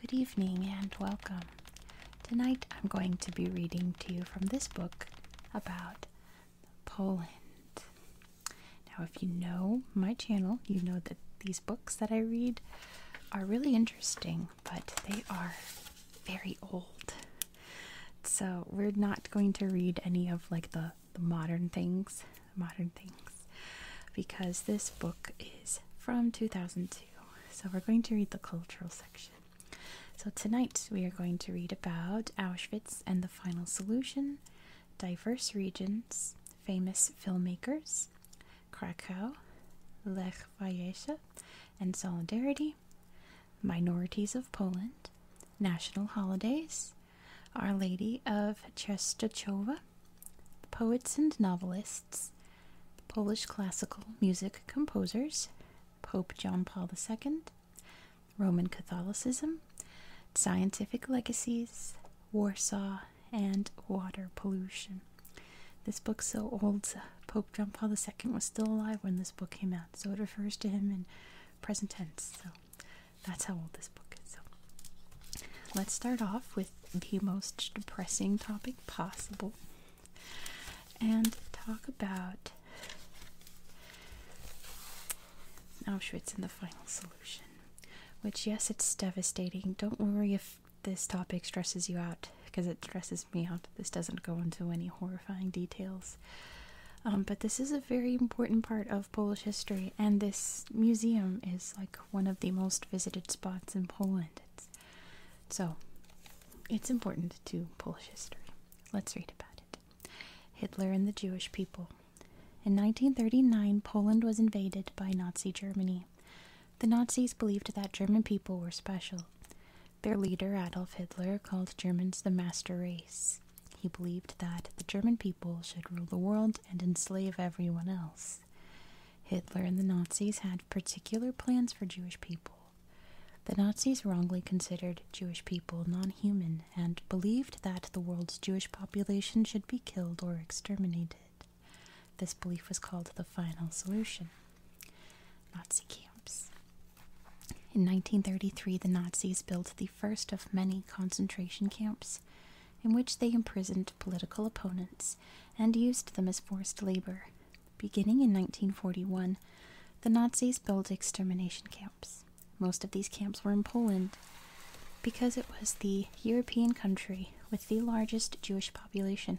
Good evening and welcome. Tonight I'm going to be reading to you from this book about Poland. Now, if you know my channel, you know that these books that I read are really interesting, but they are very old so we're not going to read any of like the, modern things modern things because this book is from 2002 so we're going to read the cultural section so tonight we are going to read about auschwitz and the final solution diverse regions famous filmmakers krakow lech wałęsa and solidarity minorities of Poland, national holidays, Our Lady of Czestochowa, poets and novelists, Polish classical music composers, Pope John Paul II, Roman Catholicism, scientific legacies, Warsaw, and water pollution. This book's so old, Pope John Paul II was still alive when this book came out, so it refers to him and present tense. So that's how old this book is. So let's start off with the most depressing topic possible and talk about I'm oh, sure it's in the final solution. Which, yes, it's devastating. Don't worry if this topic stresses you out because it stresses me out. This doesn't go into any horrifying details. Um, but this is a very important part of Polish history, and this museum is like one of the most visited spots in Poland. so it's important to Polish history. Let's read about it. Hitler and the Jewish people. In 1939, Poland was invaded by Nazi Germany. The Nazis believed that German people were special. Their leader, Adolf Hitler, called Germans the master race. He believed that the German people should rule the world and enslave everyone else. Hitler and the Nazis had particular plans for Jewish people. The Nazis wrongly considered Jewish people non human and believed that the world's Jewish population should be killed or exterminated. This belief was called the final solution. Nazi camps. In 1933, the Nazis built the first of many concentration camps in which they imprisoned political opponents and used them as forced labor. Beginning in 1941, the Nazis built extermination camps. Most of these camps were in Poland because it was the European country with the largest Jewish population.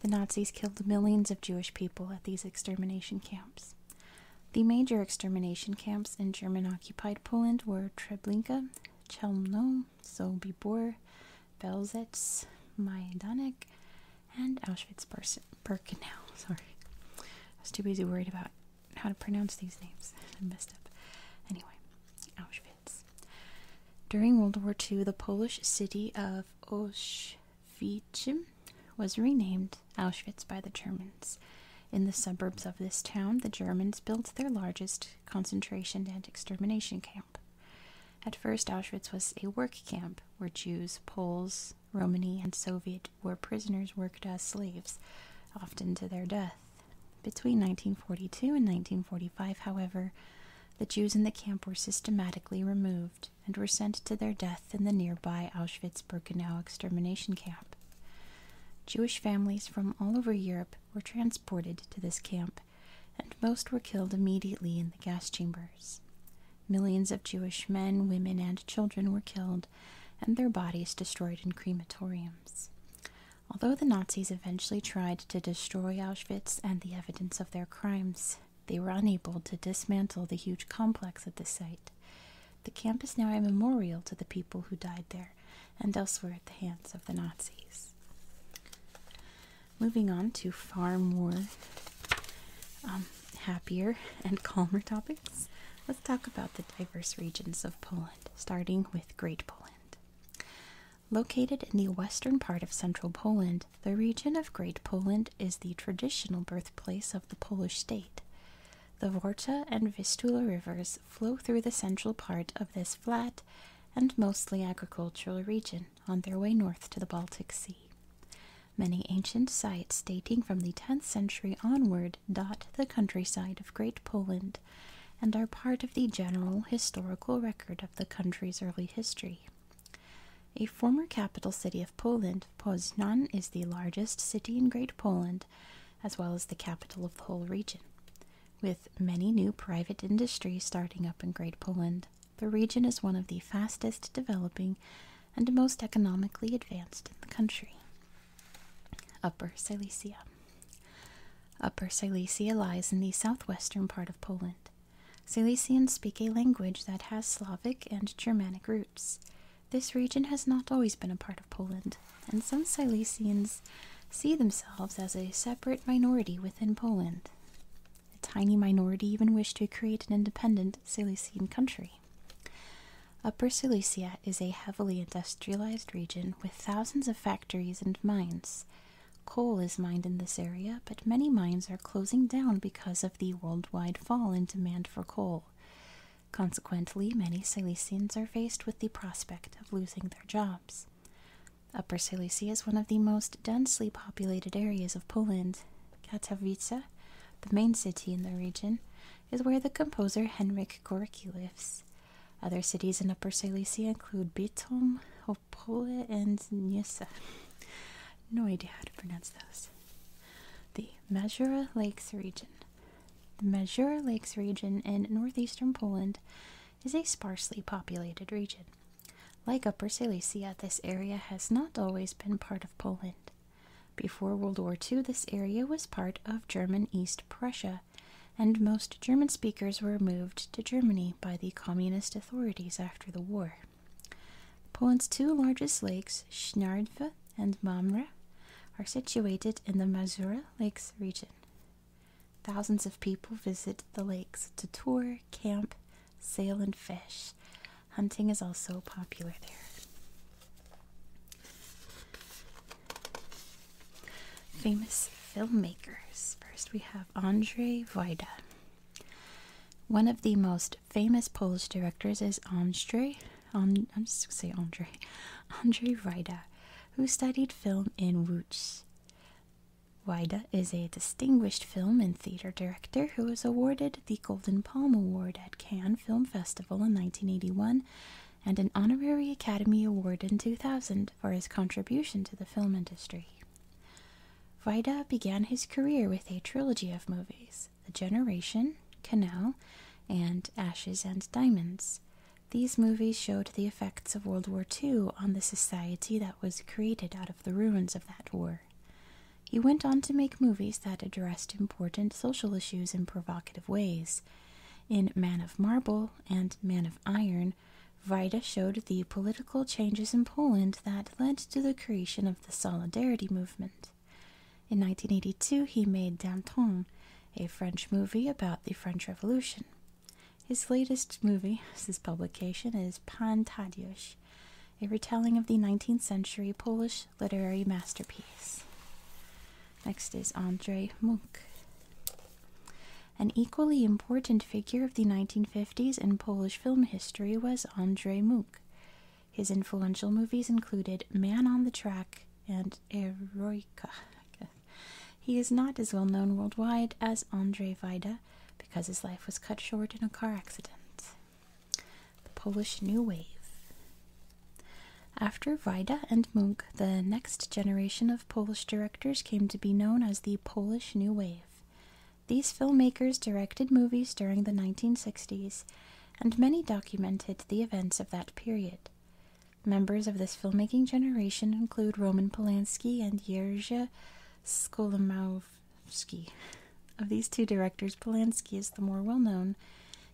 The Nazis killed millions of Jewish people at these extermination camps. The major extermination camps in German occupied Poland were Treblinka, Chelmno, Sobibor, Belzec, Majdanek, and Auschwitz Birkenau. Sorry, I was too busy worried about how to pronounce these names. I messed up. Anyway, Auschwitz. During World War II, the Polish city of Osh Vietjim was renamed Auschwitz by the Germans. In the suburbs of this town, the Germans built their largest concentration and extermination camp. At first, Auschwitz was a work camp where Jews, Poles, Romani, and Soviet were prisoners worked as slaves, often to their death. Between 1942 and 1945, however, the Jews in the camp were systematically removed, and were sent to their death in the nearby Auschwitz Birkenau extermination camp. Jewish families from all over Europe were transported to this camp, and most were killed immediately in the gas chambers. Millions of Jewish men, women, and children were killed, and their bodies destroyed in crematoriums. Although the Nazis eventually tried to destroy Auschwitz and the evidence of their crimes, they were unable to dismantle the huge complex at the site. The camp is now a memorial to the people who died there and elsewhere at the hands of the Nazis. Moving on to far more um, happier and calmer topics, let's talk about the diverse regions of Poland, starting with Great Poland. Located in the western part of central Poland, the region of Great Poland is the traditional birthplace of the Polish state. The Varta and Vistula rivers flow through the central part of this flat and mostly agricultural region on their way north to the Baltic Sea. Many ancient sites dating from the 10th century onward dot the countryside of Great Poland and are part of the general historical record of the country's early history. A former capital city of Poland Poland. Poznan is the largest city in Great Poland, as well as the capital of the whole region. With many new private industries starting up in Great Poland, the region is one of the fastest developing and most economically advanced in the country. Upper Silesia. Upper Silesia lies in the southwestern part of Poland. Silesians speak a language that has Slavic and Germanic roots. This region has not always been a part of Poland, and some Silesians see themselves as a separate minority within Poland. A tiny minority even wish to create an independent Silesian country. Upper Silesia is a heavily industrialized region with thousands of factories and mines. Coal is mined in this area, but many mines are closing down because of the worldwide fall in demand for coal. Consequently, many Silesians are faced with the prospect of losing their jobs. Upper Silesia is one of the most densely populated areas of Poland. Katowice, the main city in the region, is where the composer Henryk Gorki lives. Other cities in Upper Silesia include Bytom, Opole, and Nysa. No idea how to pronounce those. The Mazura Lakes region the Mazur Lakes region in northeastern Poland is a sparsely populated region. Like Upper Silesia, this area has not always been part of Poland. Before World War II, this area was part of German East Prussia, and most German speakers were moved to Germany by the communist authorities after the war. Poland's two largest lakes, Schnarve and Mamre are situated in the Masura Lakes region. Thousands of people visit the lakes to tour, camp, sail, and fish. Hunting is also popular there. Famous filmmakers. First, we have Andrzej Wajda. One of the most famous Polish directors is Andrzej I'm just going to say Andre, Andre Vida, who studied film in Łódź. Vida is a distinguished film and theater director who was awarded the Golden Palm Award at Cannes Film Festival in 1981 and an Honorary Academy Award in 2000 for his contribution to the film industry. Vida began his career with a trilogy of movies. The Generation, Canal, and Ashes and Diamonds. These movies showed the effects of World War II on the society that was created out of the ruins of that war. He went on to make movies that addressed important social issues in provocative ways. In Man of Marble and Man of Iron, Vida showed the political changes in Poland that led to the creation of the Solidarity Movement. In 1982, he made Danton, a French movie about the French Revolution. His latest movie, his publication, is Pan Tadeusz, a retelling of the 19th century Polish literary masterpiece. Next is Andrei Munk. An equally important figure of the 1950s in Polish film history was Andrzej Munk. His influential movies included Man on the Track and Eroica. He is not as well known worldwide as Andrzej Wajda because his life was cut short in a car accident. The Polish New Wave. After Wajda and Munk, the next generation of Polish directors came to be known as the Polish New Wave. These filmmakers directed movies during the 1960s and many documented the events of that period. Members of this filmmaking generation include Roman Polanski and Jerzy Skolomowski. Of these two directors, Polanski is the more well known.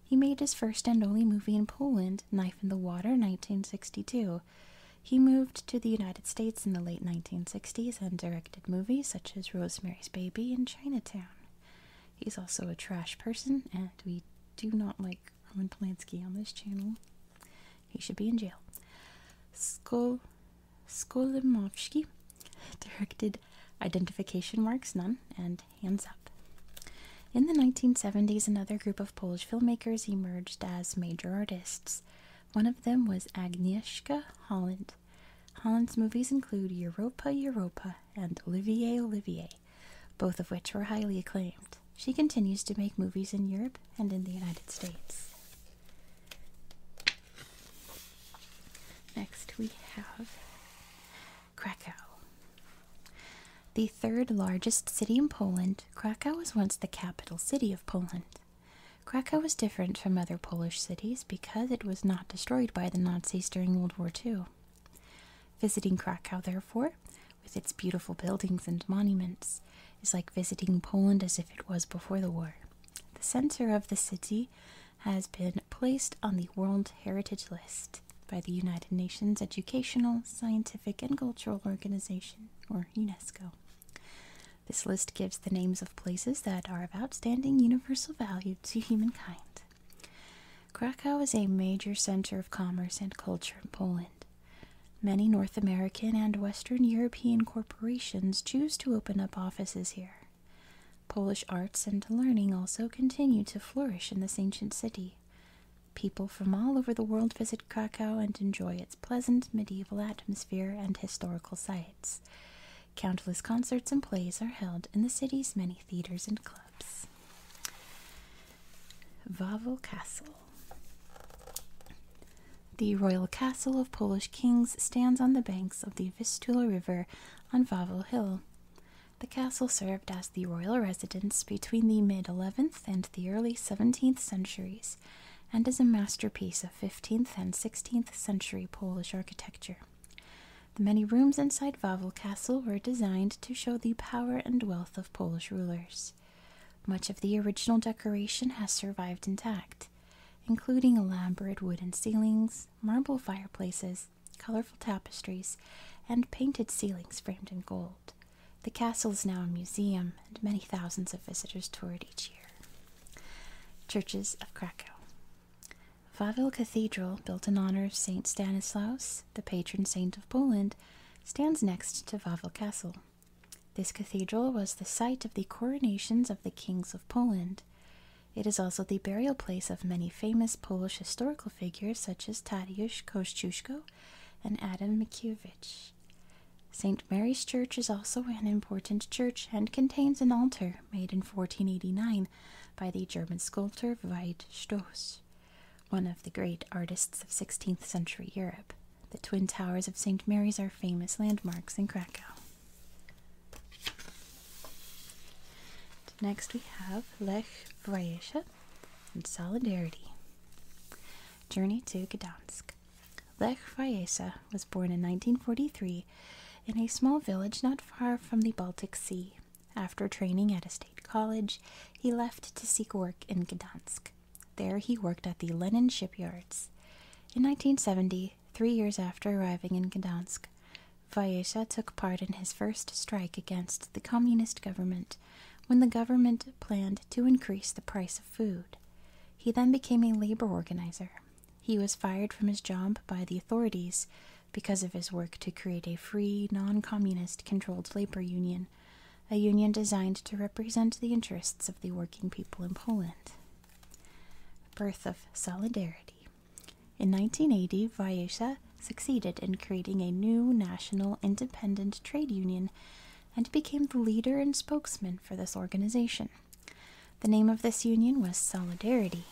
He made his first and only movie in Poland, Knife in the Water, 1962. He moved to the United States in the late 1960s and directed movies such as Rosemary's Baby and Chinatown. He's also a trash person, and we do not like Roman Polanski on this channel. He should be in jail. Skolimowski directed Identification Marks None and Hands Up. In the 1970s, another group of Polish filmmakers emerged as major artists. One of them was Agnieszka Holland. Holland's movies include Europa, Europa, and Olivier Olivier, both of which were highly acclaimed. She continues to make movies in Europe and in the United States. Next, we have Krakow. The third largest city in Poland, Krakow was once the capital city of Poland. Krakow was different from other Polish cities because it was not destroyed by the Nazis during World War II. Visiting Krakow, therefore, with its beautiful buildings and monuments, is like visiting Poland as if it was before the war. The center of the city has been placed on the World Heritage List by the United Nations Educational, Scientific, and Cultural Organization, or UNESCO. This list gives the names of places that are of outstanding universal value to humankind. Krakow is a major center of commerce and culture in Poland. Many North American and Western European corporations choose to open up offices here. Polish arts and learning also continue to flourish in this ancient city. People from all over the world visit Krakow and enjoy its pleasant medieval atmosphere and historical sites. Countless concerts and plays are held in the city's many theaters and clubs. Clubs. Wawel Castle. The royal castle of Polish kings stands on the banks of the Vistula River on Wawel Hill. The castle served as the royal residence between the mid 11th and the early 17th centuries and is a masterpiece of 15th and 16th century Polish architecture. The many rooms inside Wawel Castle were designed to show the power and wealth of Polish rulers. Much of the original decoration has survived intact, including elaborate wooden ceilings, marble fireplaces, colorful tapestries, and painted ceilings framed in gold. The castle is now a museum, and many thousands of visitors tour it each year. Churches of Krakow Wawel Cathedral, built in honor of St. Stanislaus, the patron saint of Poland, stands next to Wawel Castle. This cathedral was the site of the coronations of the kings of Poland. It is also the burial place of many famous Polish historical figures such as Tadeusz Kościuszko and Adam Mickiewicz. St. Mary's Church is also an important church and contains an altar made in 1489 by the German sculptor Veit Stoss one of the great artists of 16th century Europe. The twin towers of St. Mary's are famous landmarks in Krakow. Next, we have Lech Wałęsa and Solidarity. Journey to Gdansk. Lech Wałęsa was born in 1943 in a small village not far from the Baltic Sea. After training at a state college, he left to seek work in Gdansk. There he worked at the Lenin shipyards. In 1970, three years after arriving in Gdansk, Vayesha took part in his first strike against the communist government when the government planned to increase the price of food. He then became a labor organizer. He was fired from his job by the authorities because of his work to create a free, non communist controlled labor union, a union designed to represent the interests of the working people in Poland. Birth of Solidarity. In 1980, Wajesa succeeded in creating a new national independent trade union and became the leader and spokesman for this organization. The name of this union was Solidarity.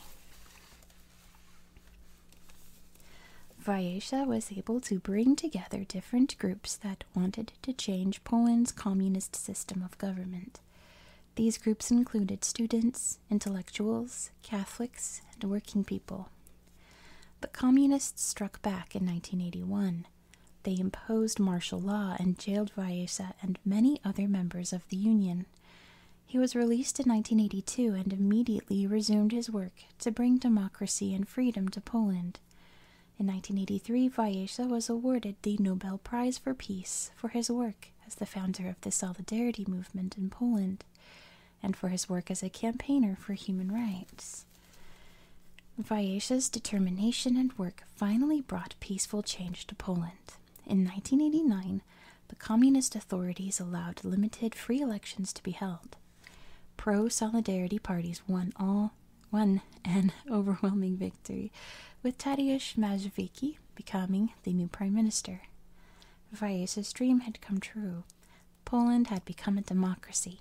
Vyasa was able to bring together different groups that wanted to change Poland's communist system of government. These groups included students, intellectuals, Catholics, and working people. The communists struck back in 1981. They imposed martial law and jailed Vyasa and many other members of the Union. He was released in 1982 and immediately resumed his work to bring democracy and freedom to Poland. In 1983, Wajesa was awarded the Nobel Prize for Peace for his work as the founder of the Solidarity Movement in Poland and for his work as a campaigner for human rights. Wajesia's determination and work finally brought peaceful change to Poland. In 1989, the communist authorities allowed limited free elections to be held. Pro Solidarity parties won all won an overwhelming victory, with Tadeusz Mazowiecki becoming the new prime minister. Vaese's dream had come true. Poland had become a democracy.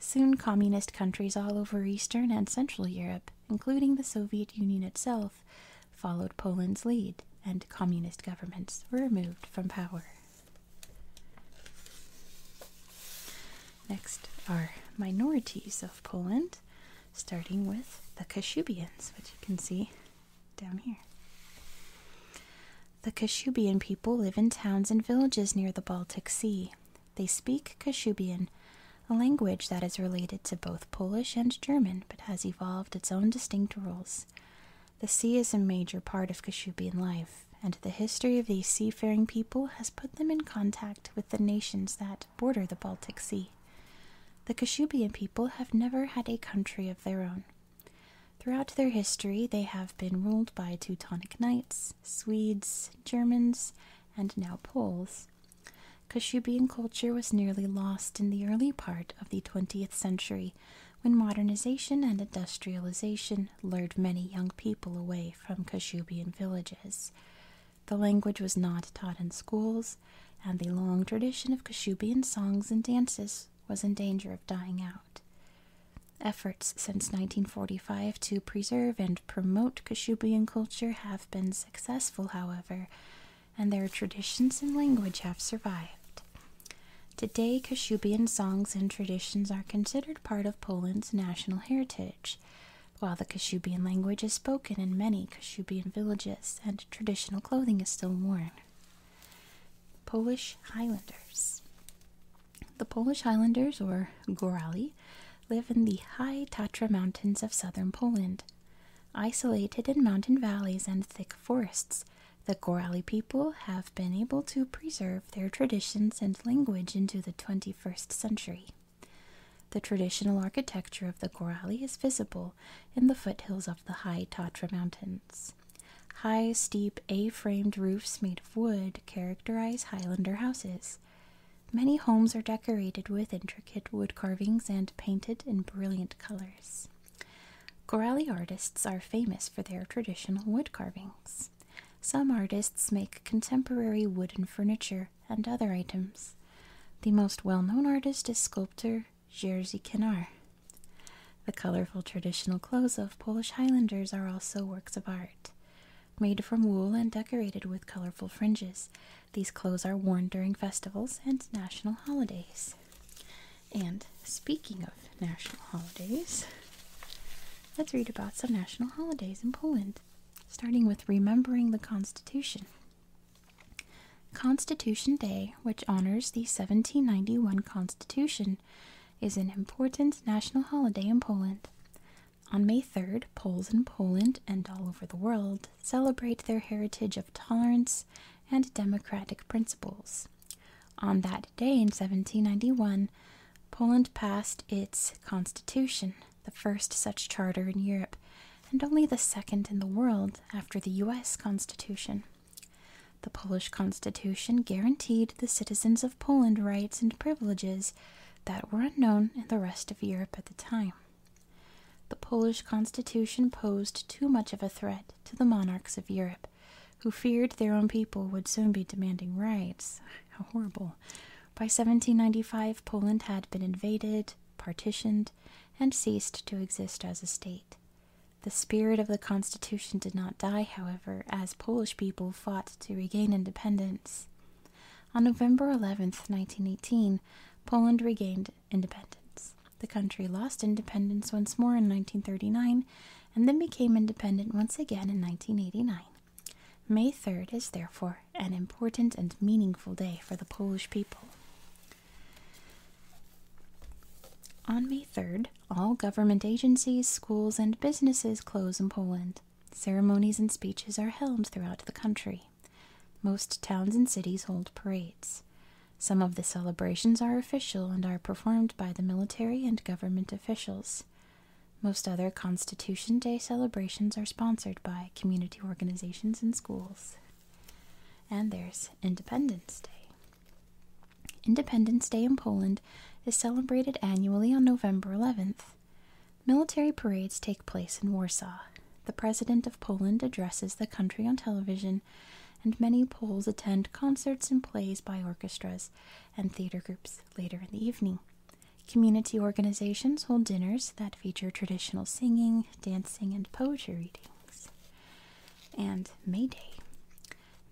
Soon communist countries all over Eastern and Central Europe, including the Soviet Union itself, followed Poland's lead, and communist governments were removed from power. Next are minorities of Poland, starting with the Kashubians, which you can see down here. The Kashubian people live in towns and villages near the Baltic Sea. They speak Kashubian, a language that is related to both Polish and German but has evolved its own distinct rules. The sea is a major part of Kashubian life, and the history of these seafaring people has put them in contact with the nations that border the Baltic Sea. The Kashubian people have never had a country of their own. Throughout their history, they have been ruled by Teutonic Knights, Swedes, Germans, and now Poles. Kashubian culture was nearly lost in the early part of the 20th century when modernization and industrialization lured many young people away from Kashubian villages. The language was not taught in schools, and the long tradition of Kashubian songs and dances was in danger of dying out. Efforts since 1945 to preserve and promote Kashubian culture have been successful, however, and their traditions and language have survived. Today, Kashubian songs and traditions are considered part of Poland's national heritage, while the Kashubian language is spoken in many Kashubian villages and traditional clothing is still worn. Polish Highlanders The Polish Highlanders, or Gorali, live in the high Tatra mountains of southern Poland. Isolated in mountain valleys and thick forests, the Gorali people have been able to preserve their traditions and language into the 21st century. The traditional architecture of the Gorali is visible in the foothills of the high Tatra Mountains. High, steep, A framed roofs made of wood characterize Highlander houses. Many homes are decorated with intricate wood carvings and painted in brilliant colors. Gorali artists are famous for their traditional wood carvings. Some artists make contemporary wooden furniture and other items. The most well known artist is sculptor Jerzy Kinar. The colorful traditional clothes of Polish Highlanders are also works of art. Made from wool and decorated with colorful fringes, these clothes are worn during festivals and national holidays. And speaking of national holidays, let's read about some national holidays in Poland, starting with remembering the Constitution. Constitution Day, which honors the 1791 Constitution, is an important national holiday in Poland. On May 3rd, Poles in Poland and all over the world celebrate their heritage of tolerance and democratic principles. On that day in 1791, Poland passed its constitution, the first such charter in Europe, and only the second in the world after the US Constitution. The Polish Constitution guaranteed the citizens of Poland rights and privileges that were unknown in the rest of Europe at the time. The Polish Constitution posed too much of a threat to the monarchs of Europe, who feared their own people would soon be demanding rights. How horrible. By 1795, Poland had been invaded, partitioned, and ceased to exist as a state. The spirit of the Constitution did not die, however, as Polish people fought to regain independence. On November eleventh, 1918, Poland regained independence. The country lost independence once more in 1939 and then became independent once again in 1989. May 3rd is therefore an important and meaningful day for the Polish people. On May 3rd, all government agencies, schools, and businesses close in Poland. Ceremonies and speeches are held throughout the country. Most towns and cities hold parades. Some of the celebrations are official and are performed by the military and government officials. Most other Constitution Day celebrations are sponsored by community organizations and schools. And there's Independence Day. Independence Day in Poland is celebrated annually on November 11th. Military parades take place in Warsaw. The President of Poland addresses the country on television, and many Poles attend concerts and plays by orchestras and theater groups later in the evening. Community organizations hold dinners that feature traditional singing, dancing, and poetry readings. And May Day.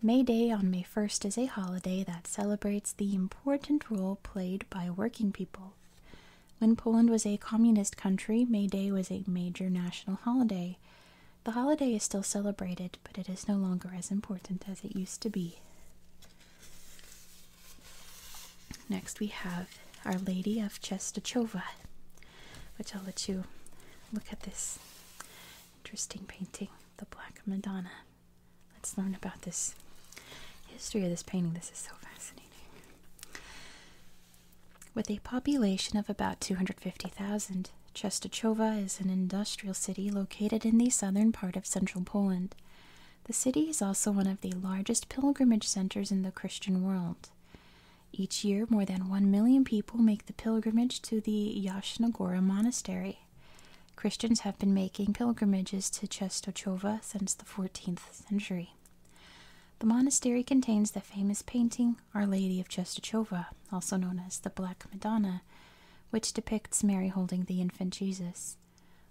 May Day on May 1st is a holiday that celebrates the important role played by working people. When Poland was a communist country, May Day was a major national holiday. The holiday is still celebrated, but it is no longer as important as it used to be. Next, we have Our Lady of Chestachova, which I'll let you look at this interesting painting, The Black Madonna. Let's learn about this history of this painting. This is so fascinating. With a population of about 250,000, Czestochowa is an industrial city located in the southern part of central Poland. The city is also one of the largest pilgrimage centers in the Christian world. Each year, more than 1 million people make the pilgrimage to the Yashna Gora monastery. Christians have been making pilgrimages to Czestochowa since the 14th century. The monastery contains the famous painting Our Lady of Czestochowa, also known as the Black Madonna which depicts Mary holding the infant Jesus.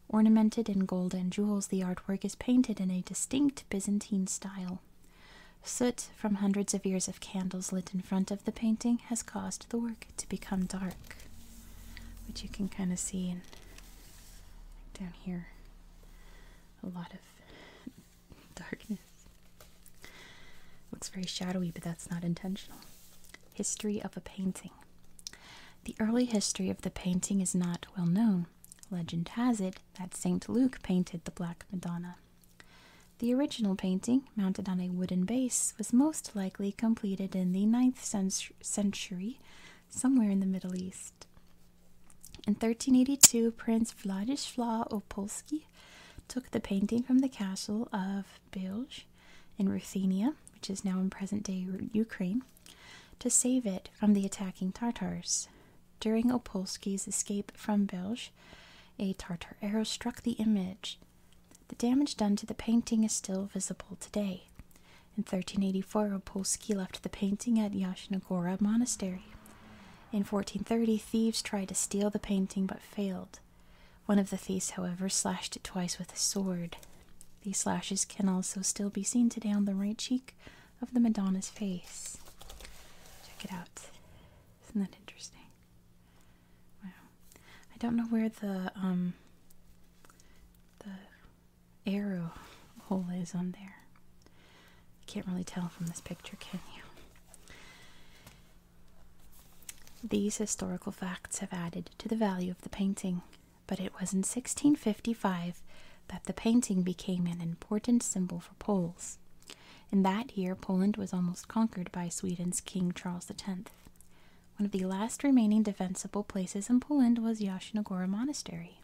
Ornamented in gold and jewels, the artwork is painted in a distinct Byzantine style. Soot from hundreds of years of candles lit in front of the painting has caused the work to become dark, which you can kind of see in, down here. A lot of darkness. Looks very shadowy, but that's not intentional. History of a painting. The early history of the painting is not well known. Legend has it that St. Luke painted the Black Madonna. The original painting, mounted on a wooden base, was most likely completed in the ninth century, somewhere in the Middle East. In 1382, Prince Vladislav Opolski took the painting from the castle of of in Ruthenia, which is now in present day Ukraine, to save it from the attacking Tartars. During Opolski's escape from Bilj, a Tartar arrow struck the image. The damage done to the painting is still visible today. In 1384, Opolski left the painting at Yashnagora Monastery. In 1430, thieves tried to steal the painting but failed. One of the thieves, however, slashed it twice with a sword. These slashes can also still be seen today on the right cheek of the Madonna's face. Check it out. Isn't that interesting? Wow. I don't know where the um the arrow hole is on there. You can't really tell from this picture, can you? These historical facts have added to the value of the painting, but it was in 1655 that the painting became an important symbol for Poles. In that year, Poland was almost conquered by Sweden's King Charles X. One of the last remaining defensible places in Poland was Yashnagora Monastery.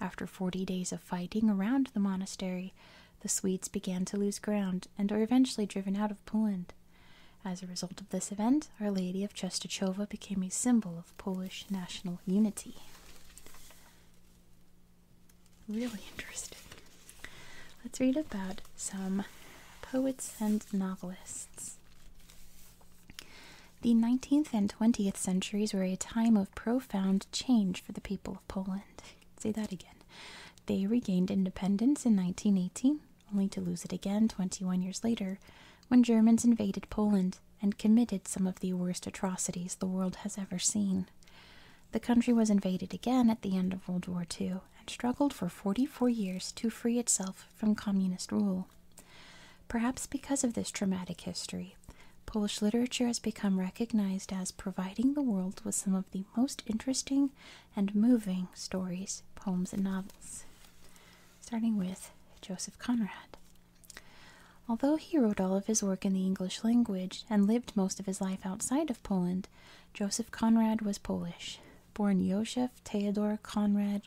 After 40 days of fighting around the monastery, the Swedes began to lose ground and were eventually driven out of Poland. As a result of this event, Our Lady of Czestochowa became a symbol of Polish national unity. Really interesting. Let's read about some poets and novelists. The 19th and 20th centuries were a time of profound change for the people of Poland. Say that again. They regained independence in 1918 only to lose it again 21 years later when Germans invaded Poland and committed some of the worst atrocities the world has ever seen. The country was invaded again at the end of World War II and struggled for 44 years to free itself from communist rule. Perhaps because of this traumatic history, Polish literature has become recognized as providing the world with some of the most interesting and moving stories, poems, and novels, starting with Joseph Conrad. Although he wrote all of his work in the English language and lived most of his life outside of Poland, Joseph Conrad was Polish. Born Joseph Theodor Konrad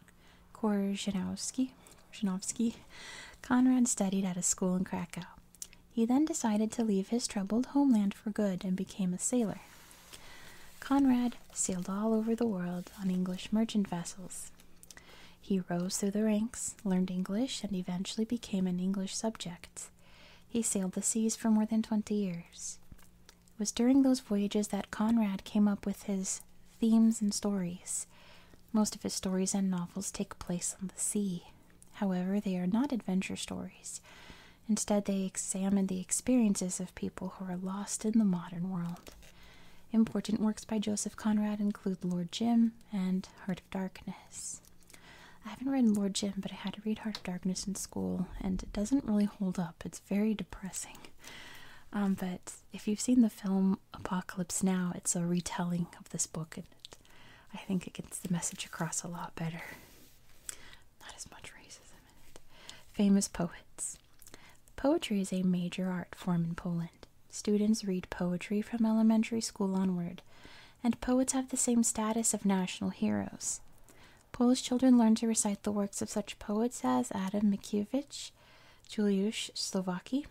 Korzeniowski, Conrad studied at a school in Krakow. He then decided to leave his troubled homeland for good and became a sailor. Conrad sailed all over the world on English merchant vessels. He rose through the ranks, learned English, and eventually became an English subject. He sailed the seas for more than twenty years. It was during those voyages that Conrad came up with his themes and stories. Most of his stories and novels take place on the sea. However, they are not adventure stories. Instead, they examine the experiences of people who are lost in the modern world. Important works by Joseph Conrad include Lord Jim and Heart of Darkness. I haven't read Lord Jim, but I had to read Heart of Darkness in school, and it doesn't really hold up. It's very depressing. Um, but if you've seen the film Apocalypse Now, it's a retelling of this book, and I think it gets the message across a lot better. Not as much racism in it. Famous poets. Poetry is a major art form in Poland. Students read poetry from elementary school onward, and poets have the same status of national heroes. Polish children learn to recite the works of such poets as Adam Mickiewicz, Juliusz Slowacki,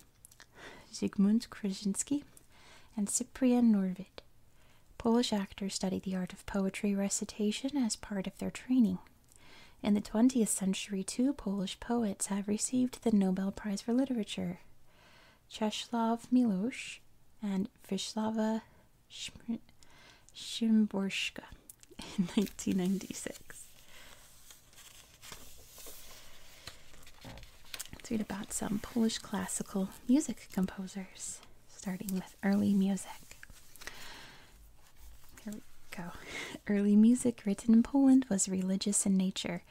Zygmunt Krzyżanski, and Cyprian Norwid. Polish actors study the art of poetry recitation as part of their training. In the 20th century, two Polish poets have received the Nobel Prize for Literature Czesław Milosz and Wisława Szymborska in 1996. Let's read about some Polish classical music composers, starting with early music. Here we go. Early music written in Poland was religious in nature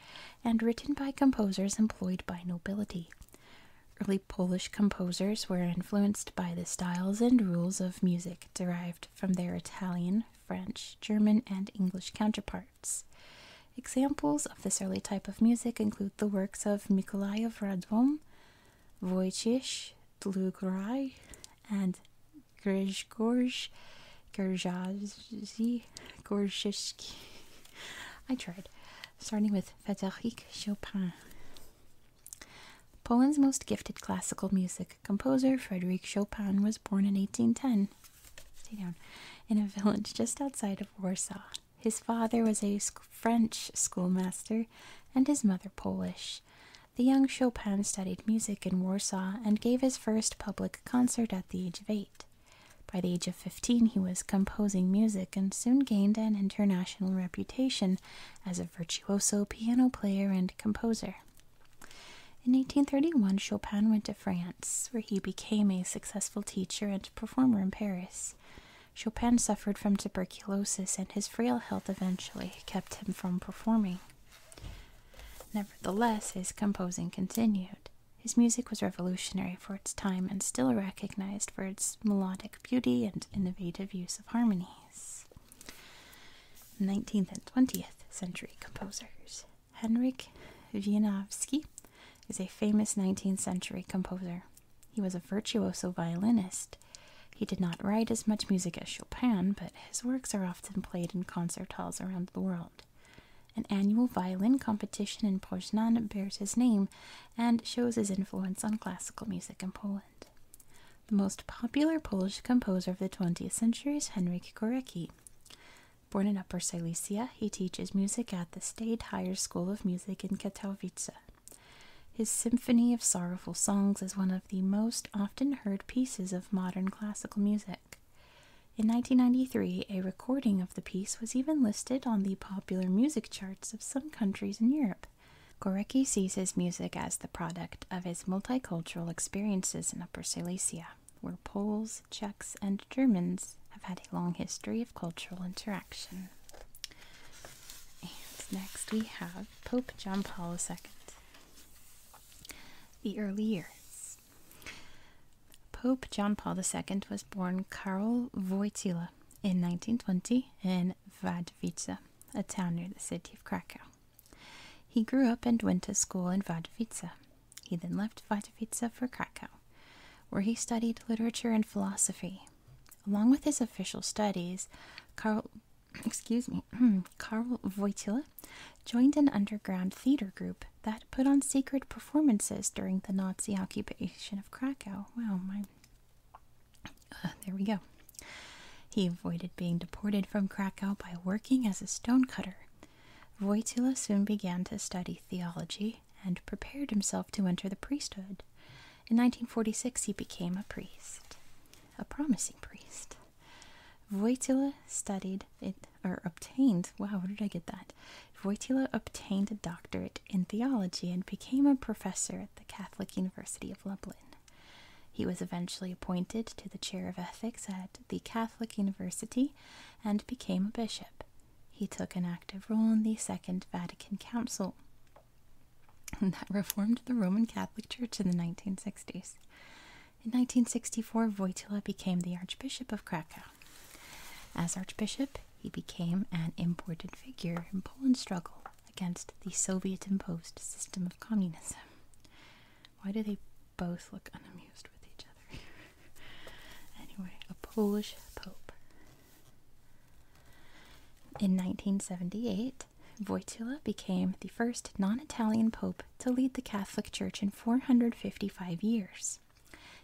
and written by composers employed by nobility. Early Polish composers were influenced by the styles and rules of music derived from their Italian, French, German, and English counterparts. Examples of this early type of music include the works of Mikolaj of Radom, Wojciech Dlugrai and Grigorj Gerjazi Gorzhishki. I tried, starting with Frédéric Chopin. Poland's most gifted classical music composer, Frédéric Chopin, was born in 1810. Stay down. In a village just outside of Warsaw. His father was a French schoolmaster and his mother Polish. The young Chopin studied music in Warsaw and gave his first public concert at the age of eight. By the age of 15, he was composing music and soon gained an international reputation as a virtuoso piano player and composer. In 1831, Chopin went to France, where he became a successful teacher and performer in Paris. Chopin suffered from tuberculosis and his frail health eventually kept him from performing. Nevertheless, his composing continued. His music was revolutionary for its time and still recognized for its melodic beauty and innovative use of harmonies. 19th and 20th century composers. Henrik Wieniawski is a famous 19th century composer. He was a virtuoso violinist he did not write as much music as Chopin, but his works are often played in concert halls around the world. An annual violin competition in Poznan bears his name and shows his influence on classical music in Poland. The most popular Polish composer of the 20th century is Henryk Gorecki. Born in Upper Silesia, he teaches music at the State Higher School of Music in Katowice his Symphony of Sorrowful Songs is one of the most often heard pieces of modern classical music. In 1993, a recording of the piece was even listed on the popular music charts of some countries in Europe. Gorecki sees his music as the product of his multicultural experiences in Upper Silesia, where Poles, Czechs, and Germans have had a long history of cultural interaction. And next we have Pope John Paul II. The early years. Pope John Paul II was born Karol Wojtyla in 1920 in Vadvice, a town near the city of Krakow. He grew up and went to school in Vadvice. He then left Vadvice for Krakow, where he studied literature and philosophy. Along with his official studies, Karol excuse me, hmm. Karl Wojtyla joined an underground theater group that put on secret performances during the Nazi occupation of Krakow. Wow, my. Uh, there we go. He avoided being deported from Krakow by working as a stonecutter. Wojtyla soon began to study theology and prepared himself to enter the priesthood. In 1946, he became a priest a promising priest. Voitila studied it or obtained wow where did I get that? Voitila obtained a doctorate in theology and became a professor at the Catholic University of Lublin. He was eventually appointed to the chair of ethics at the Catholic University and became a bishop. He took an active role in the Second Vatican Council that reformed the Roman Catholic Church in the 1960s. In 1964, Wojtyla became the Archbishop of Krakow. As Archbishop, he became an important figure in Poland's struggle against the Soviet imposed system of communism. Why do they both look unamused with each other? anyway, a Polish pope. In 1978, Wojtyla became the first non Italian pope to lead the Catholic Church in 455 years.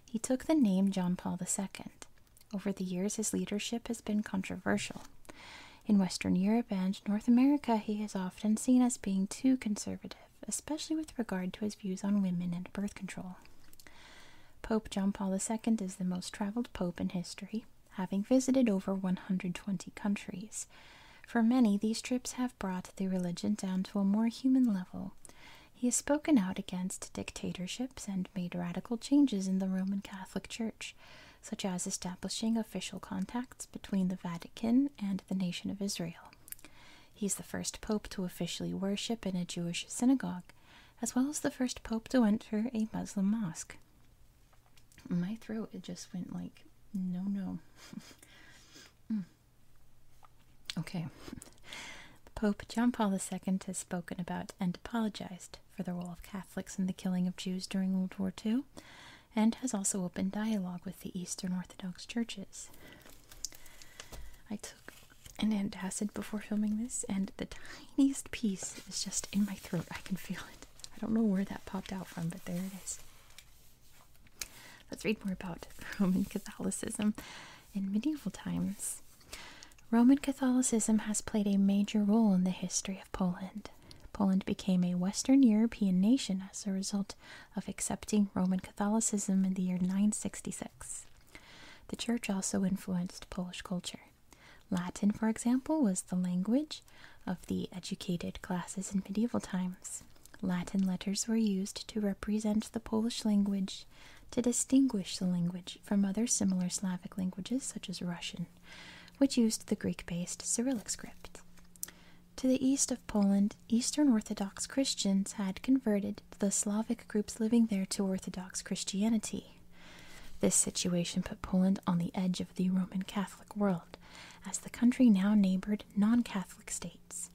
He took the name John Paul II. Over the years, his leadership has been controversial. In Western Europe and North America, he is often seen as being too conservative, especially with regard to his views on women and birth control. Pope John Paul II is the most traveled pope in history having visited over 120 countries. For many, these trips have brought the religion down to a more human level. He has spoken out against dictatorships and made radical changes in the Roman Catholic Church, such as establishing official contacts between the Vatican and the nation of Israel. He is the first pope to officially worship in a Jewish synagogue, as well as the first pope to enter a Muslim mosque. My throat, it just went like, no, no. Mm. Okay. Pope John Paul II has spoken about and apologized for the role of Catholics in the killing of Jews during World War II and has also opened dialogue with the Eastern Orthodox churches. I took an antacid before filming this, and the tiniest piece is just in my throat. I can feel it. I don't know where that popped out from, but there it is. Let's read more about Roman Catholicism in medieval times. Roman Catholicism has played a major role in the history of Poland. Poland became a Western European nation as a result of accepting Roman Catholicism in the year 966. The church also influenced Polish culture. Latin, for example, was the language of the educated classes in medieval times. Latin letters were used to represent the Polish language to distinguish the language from other similar Slavic languages, such as Russian, which used the Greek based Cyrillic script. To the east of Poland, Eastern Orthodox Christians had converted the Slavic groups living there to Orthodox Christianity. This situation put Poland on the edge of the Roman Catholic world as the country now neighbored non Catholic states.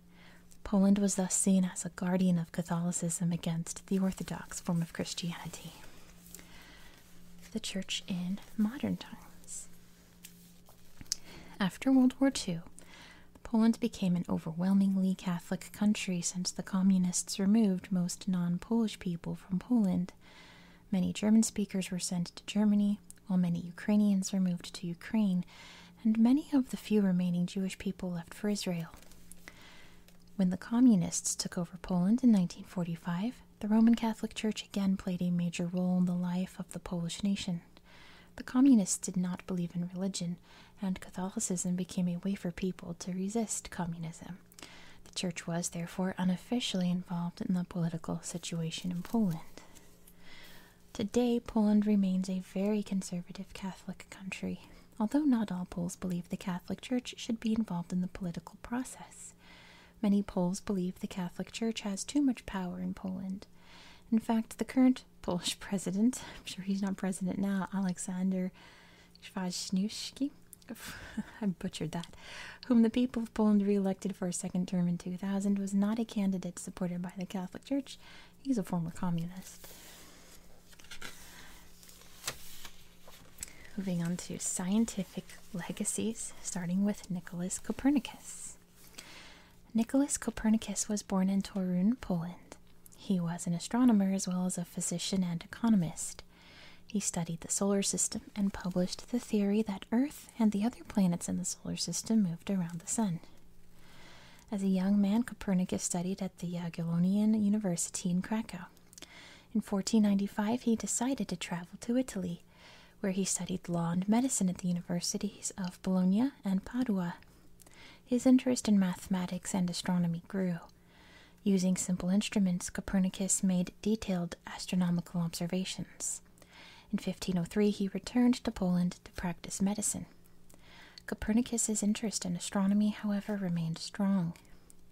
Poland was thus seen as a guardian of Catholicism against the Orthodox form of Christianity. The Church in Modern Times. After World War II, Poland became an overwhelmingly Catholic country since the Communists removed most non Polish people from Poland. Many German speakers were sent to Germany, while many Ukrainians were moved to Ukraine, and many of the few remaining Jewish people left for Israel. When the Communists took over Poland in 1945, the Roman Catholic Church again played a major role in the life of the Polish nation. The Communists did not believe in religion, and Catholicism became a way for people to resist communism. The church was, therefore, unofficially involved in the political situation in Poland. Today, Poland remains a very conservative Catholic country, although not all Poles believe the Catholic Church should be involved in the political process. Many Poles believe the Catholic Church has too much power in Poland. In fact, the current Polish president, I'm sure he's not president now, Alexander Kwaśniewski, I butchered that, whom the people of Poland re-elected for a second term in 2000, was not a candidate supported by the Catholic Church. He's a former communist. Moving on to scientific legacies, starting with Nicholas Copernicus. Nicholas Copernicus was born in Torun, Poland. He was an astronomer as well as a physician and economist. He studied the solar system and published the theory that Earth and the other planets in the solar system moved around the Sun. As a young man, Copernicus studied at the Jagiellonian University in Krakow. In 1495, he decided to travel to Italy, where he studied law and medicine at the universities of Bologna and Padua. His interest in mathematics and astronomy grew. Using simple instruments, Copernicus made detailed astronomical observations. In 1503, he returned to Poland to practice medicine. Copernicus's interest in astronomy, however, remained strong.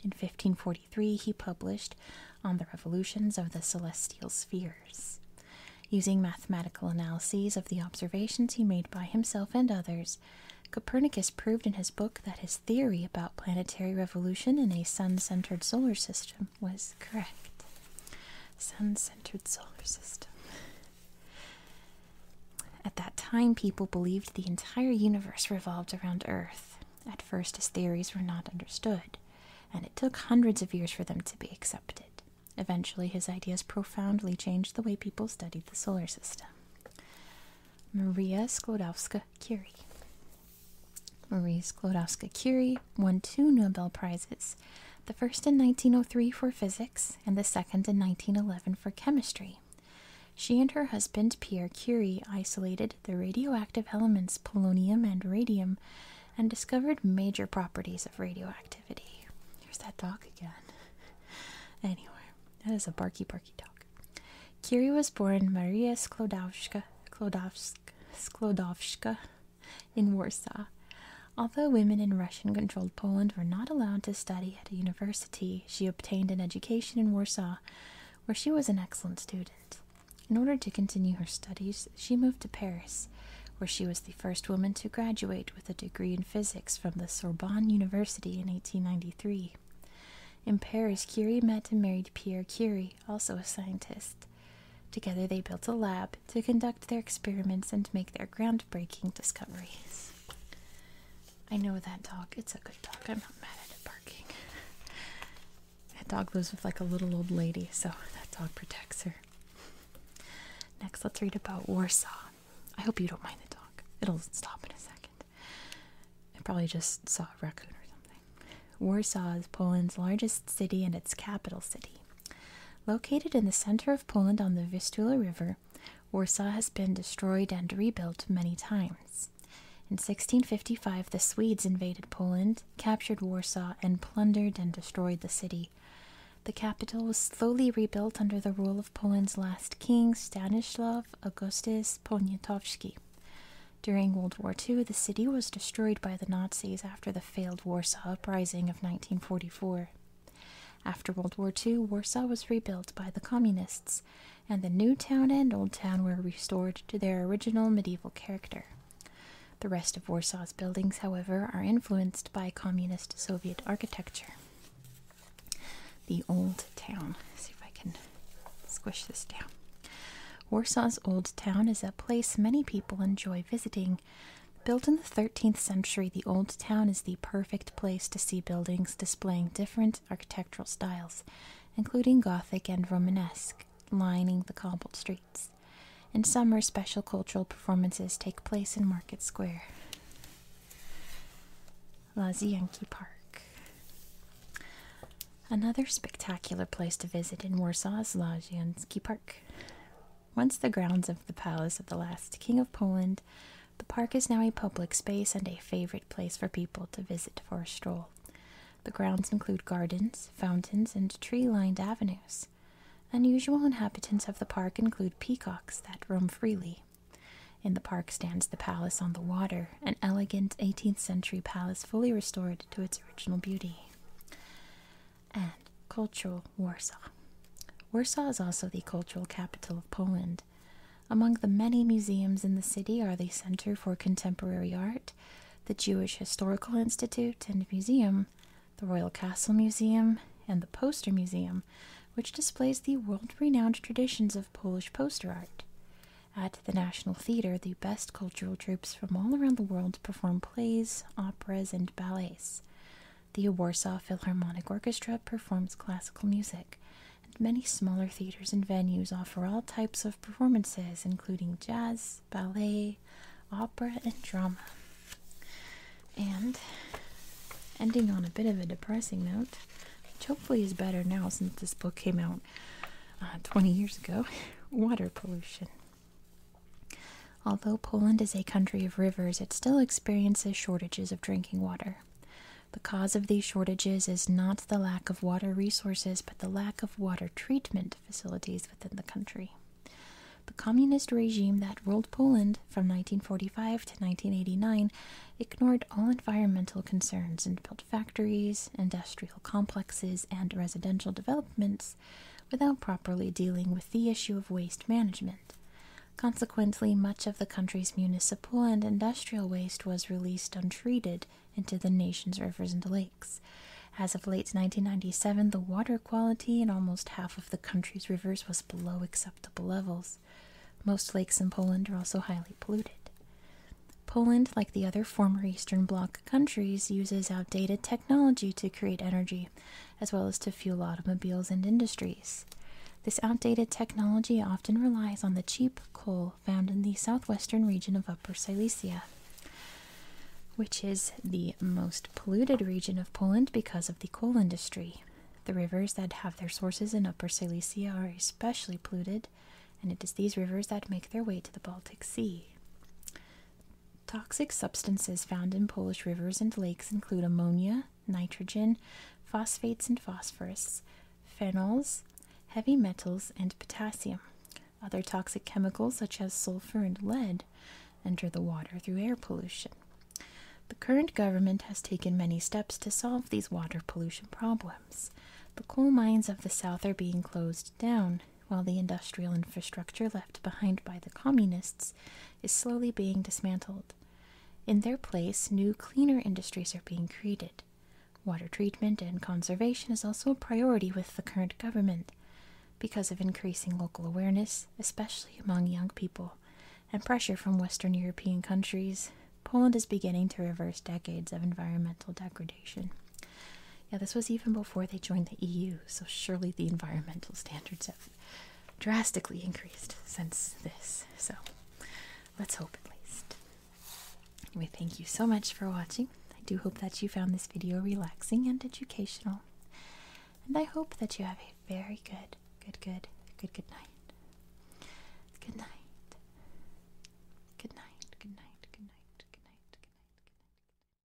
In 1543, he published On the Revolutions of the Celestial Spheres. Using mathematical analyses of the observations he made by himself and others, Copernicus proved in his book that his theory about planetary revolution in a sun centered solar system was correct sun centered solar system. At that time, people believed the entire universe revolved around Earth, at first, his theories were not understood, and it took hundreds of years for them to be accepted. Eventually, his ideas profoundly changed the way people studied the solar system. Maria Sklodowska Curie Marie Sklodowska Curie won two Nobel Prizes, the first in 1903 for physics and the second in 1911 for chemistry. She and her husband Pierre Curie isolated the radioactive elements polonium and radium and discovered major properties of radioactivity. Here's that dog again. anyway, that is a barky barky dog. Curie was born Maria Sklodowska, Sklodowska, Sklodowska in Warsaw. Although women in Russian controlled Poland were not allowed to study at a university, she obtained an education in Warsaw, where she was an excellent student. In order to continue her studies, she moved to Paris, where she was the first woman to graduate with a degree in physics from the Sorbonne University in 1893. In Paris, Curie met and married Pierre Curie, also a scientist. Together they built a lab to conduct their experiments and make their groundbreaking discoveries. I know that dog. It's a good dog. I'm not mad at it barking. that dog lives with like a little old lady, so that dog protects her. Next, let's read about Warsaw. I hope you don't mind the dog. It'll stop in a second. It probably just saw a raccoon or something. Warsaw is Poland's largest city and its capital city. Located in the center of Poland on the Vistula River, Warsaw has been destroyed and rebuilt many times. In 1655, the Swedes invaded Poland, captured Warsaw, and plundered and destroyed the city. The capital was slowly rebuilt under the rule of Poland's last king, Stanislav Augustus Poniatowski. During World War II, the city was destroyed by the Nazis after the failed Warsaw Uprising of 1944. After World War II, Warsaw was rebuilt by the Communists, and the New Town and Old Town were restored to their original medieval character. The rest of Warsaw's buildings, however, are influenced by Communist Soviet architecture. The Old Town. see if I can squish this down. Warsaw's Old Town is a place many people enjoy visiting. Built in the 13th century, the Old Town is the perfect place to see buildings displaying different architectural styles, including Gothic and Romanesque, lining the cobbled streets. In summer, special cultural performances take place in Market Square. Lazienki Park. Another spectacular place to visit in Warsaw is Lazienki Park. Once the grounds of the palace of the last King of Poland, the park is now a public space and a favorite place for people to visit for a stroll. The grounds include gardens, fountains, and tree lined avenues. Unusual inhabitants of the park include peacocks that roam freely. In the park stands the Palace on the Water, an elegant 18th century palace fully restored to its original beauty and cultural Warsaw. Warsaw is also the cultural capital of Poland. Among the many museums in the city are the Center for Contemporary Art, the Jewish Historical Institute and Museum, the Royal Castle Museum, and the Poster Museum, which displays the world renowned traditions of Polish poster art. At the National Theater, the best cultural troupes from all around the world Perform plays, operas, and ballets. The Warsaw Philharmonic Orchestra performs classical music, and many smaller theaters and venues offer all types of performances, including jazz, ballet, opera, and drama. And ending on a bit of a depressing note, which hopefully is better now since this book came out uh, 20 years ago, water pollution. Although Poland is a country of rivers, it still experiences shortages of drinking water. The cause of these shortages is not the lack of water resources, but the lack of water treatment facilities within the country. The communist regime that ruled Poland from 1945 to 1989 ignored all environmental concerns and built factories, industrial complexes, and residential developments without properly dealing with the issue of waste management. Consequently, much of the country's municipal and industrial waste was released untreated into the nation's rivers and lakes. As of late 1997, the water quality in almost half of the country's rivers was below acceptable levels. Most lakes in Poland are also highly polluted. Poland, like the other former Eastern Bloc countries, uses outdated technology technology to create energy, as well as to fuel automobiles and industries. This outdated technology often relies on the cheap coal found in the southwestern region of Upper Silesia, which is the most polluted region of Poland because of the coal industry. The rivers that have their sources in Upper Silesia are especially polluted, and it is these rivers that make their way to the Baltic Sea. Toxic substances found in Polish rivers and lakes include ammonia, nitrogen, phosphates and phosphorus, phenols, heavy metals, and potassium. Other toxic chemicals, such as sulfur and lead, enter the water through air pollution. The current government has taken many steps to solve these water pollution problems. The coal mines of the south are being closed down, while the industrial infrastructure left behind by the communists is slowly being dismantled. In their place, new, cleaner industries are being created. Water treatment and conservation is also a priority with the current government because of increasing local awareness, especially among young people, and pressure from Western European countries. Poland is beginning to reverse decades of environmental degradation. Yeah, this was even before they joined the EU, so surely the environmental standards have drastically increased since this. So let's hope at least. We thank you so much for watching. I do hope that you found this video relaxing and educational. And I hope that you have a very good, good, good, good, good night. Good night. Good night. Good night. Good night. Good night. Good night. Good night.